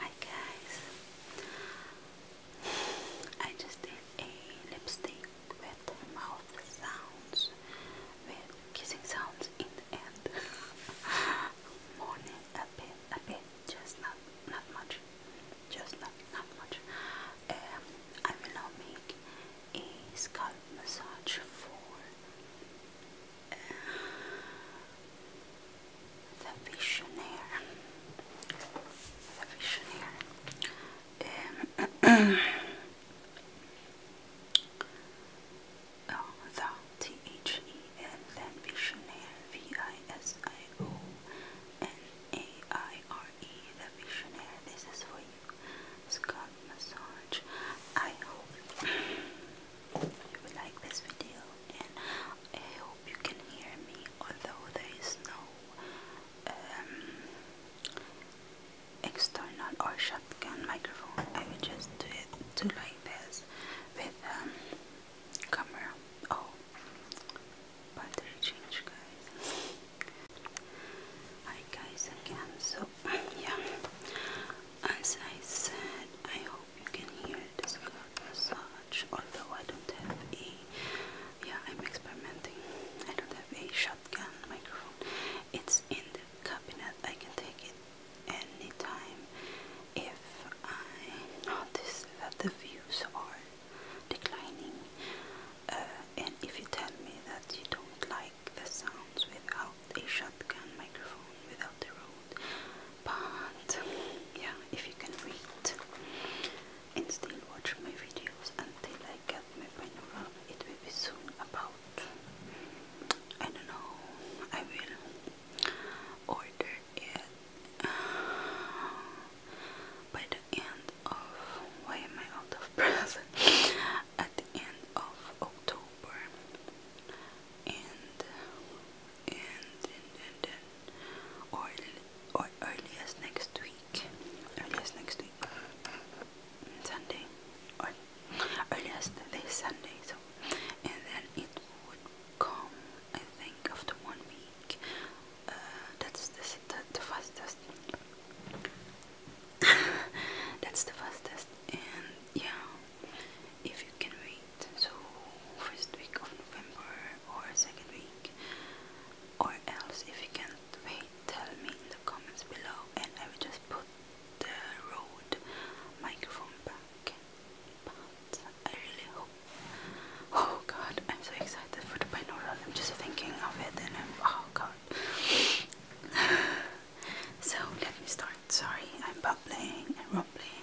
Hi guys, I just did a lipstick with mouth sounds, with kissing sounds in the end. a bit, a bit, just not, not much, just not, not much. Um, I will now make a scalp massage for the visionary, the visionaire um, oh, the T-H-E and visionaire the visionaire this is for you scalp massage I hope you will like this video I hope you can hear me, although there is no um, external or shotgun microphone. I will just do it like this with um, camera. Oh, battery change, guys. Hi guys again. So yeah, as I said, I hope you can hear this massage. Although I don't have a, yeah, I'm experimenting. I don't have a shotgun microphone. It's in the cabinet. I can take it anytime if I notice that the views are declining. Uh, and if you tell me that you don't like the sounds without a shotgun microphone, without the road, but yeah, if you can read and still watch my videos until I get my panorama, it will be soon about, I don't know, I will order it by the end of, why am I out of breath, at the end of October and and then, then, then or, or next week, earliest next week, Sunday, or earliest Sunday, so, and then it would come, I think, after one week, uh, that's the, the, the fastest, that's the fastest, and yeah, if you can wait. So first week of November or second week or else if you can't wait tell me in the comments below and I will just put the Rode microphone back. I really hope Oh god, I'm so excited for the binaural. I'm just thinking of it and oh god. so let me start. Sorry, I'm bubbling and rumbling.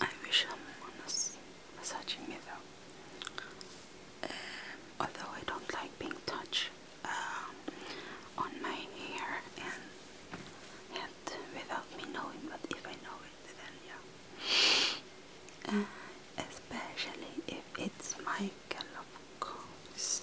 I wish someone was massaging me though. Um, although I don't like being touched um, on my hair and head without me knowing, but if I know it, then yeah. Uh, especially if it's my of course.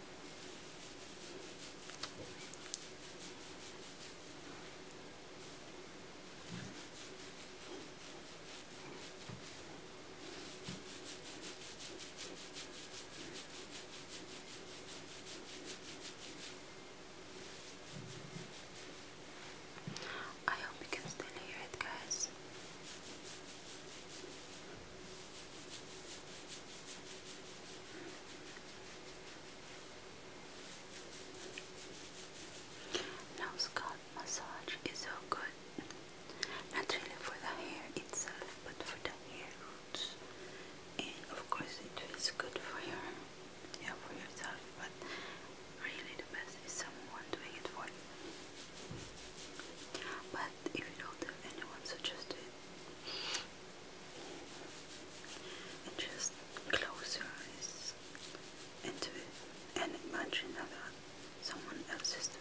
I hope you can still hear it, guys. Now scalp massage is so good. Not really for the hair itself, but for the hair roots. And of course it feels good for your yeah, for yourself, but really the best is someone doing it for you. But if you don't have anyone, so just do it and just close your eyes into and imagine that someone else is doing.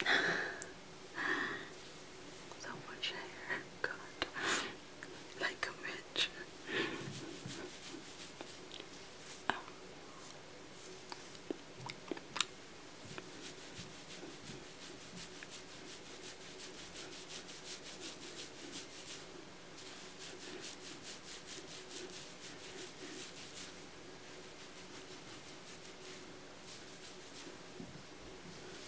so much hair, God like a witch. Oh.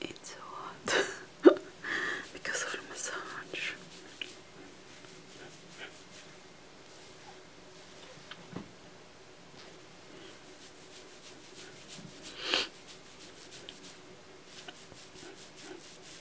It's so hot because of the massage.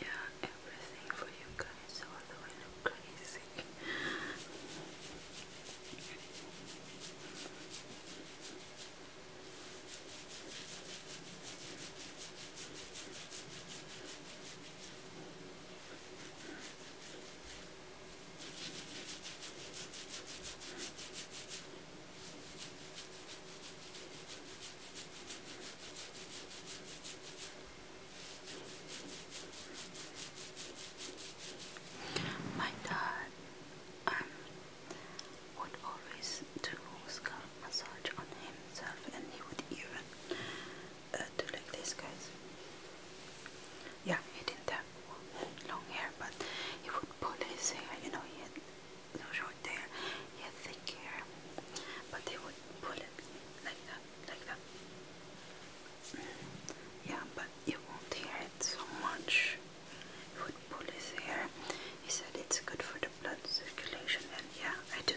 yeah, everything for you guys, although I look crazy. My dad um, would always do scalp massage on himself, and he would even uh, do like this, guys. Yeah, he didn't have long hair, but he would pull his hair. You know, he had no short hair, he had thick hair, but they would pull it like that like that. Yeah, but you won't hear it so much. He would pull his hair. He said it's good for the blood circulation, and yeah, I do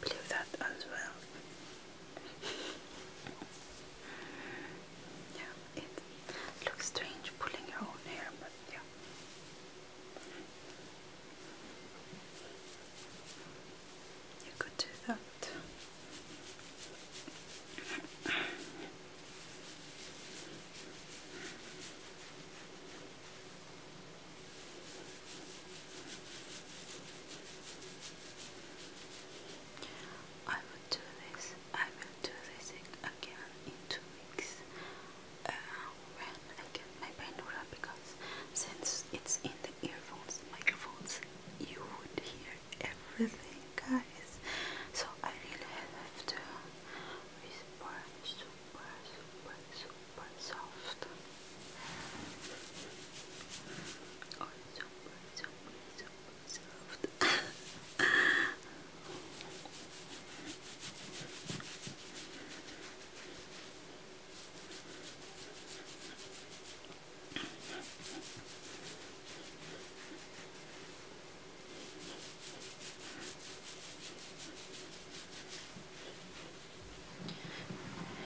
believe that as well. yeah, it looks strange pulling your own hair, but yeah you could do that. I will do this. I will do this again in two weeks. Uh, when again, my brain will because since it's in the the earphones, microphones, you would hear everything, guys. So I really have to whisper super, super, super soft. Or oh, super, super, super soft.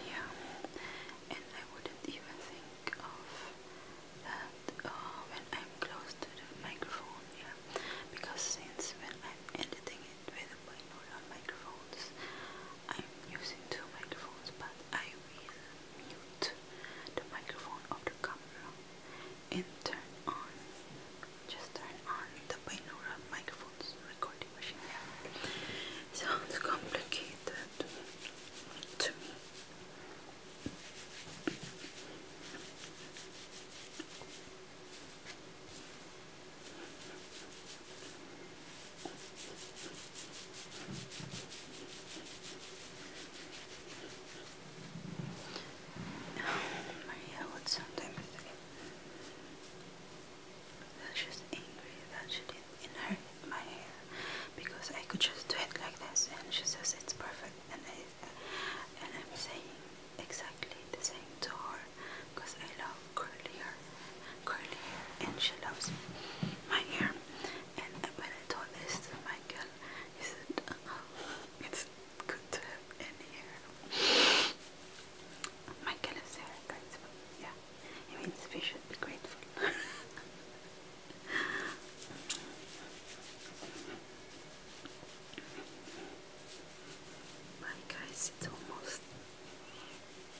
Yeah, and I wouldn't even think of uh, when I'm close to the microphone, yeah, because since when I'm editing it with binaural microphones, I'm using two microphones, but I will mute the microphone of the camera and turn on, just turn on the binaural microphones recording machine. Sounds complicated to me. Oh, Maria would sometimes say that she's angry that she didn't inherit my hair because I could just do it like this, and she says it's perfect, and I and I'm saying exactly the same to her because I love curly hair, curly hair, and she loves my hair. And uh, when I told this to Michael, he said, oh, "It's good to have any hair." Michael is very grateful. Yeah, it means we should be grateful. Bye guys, it's almost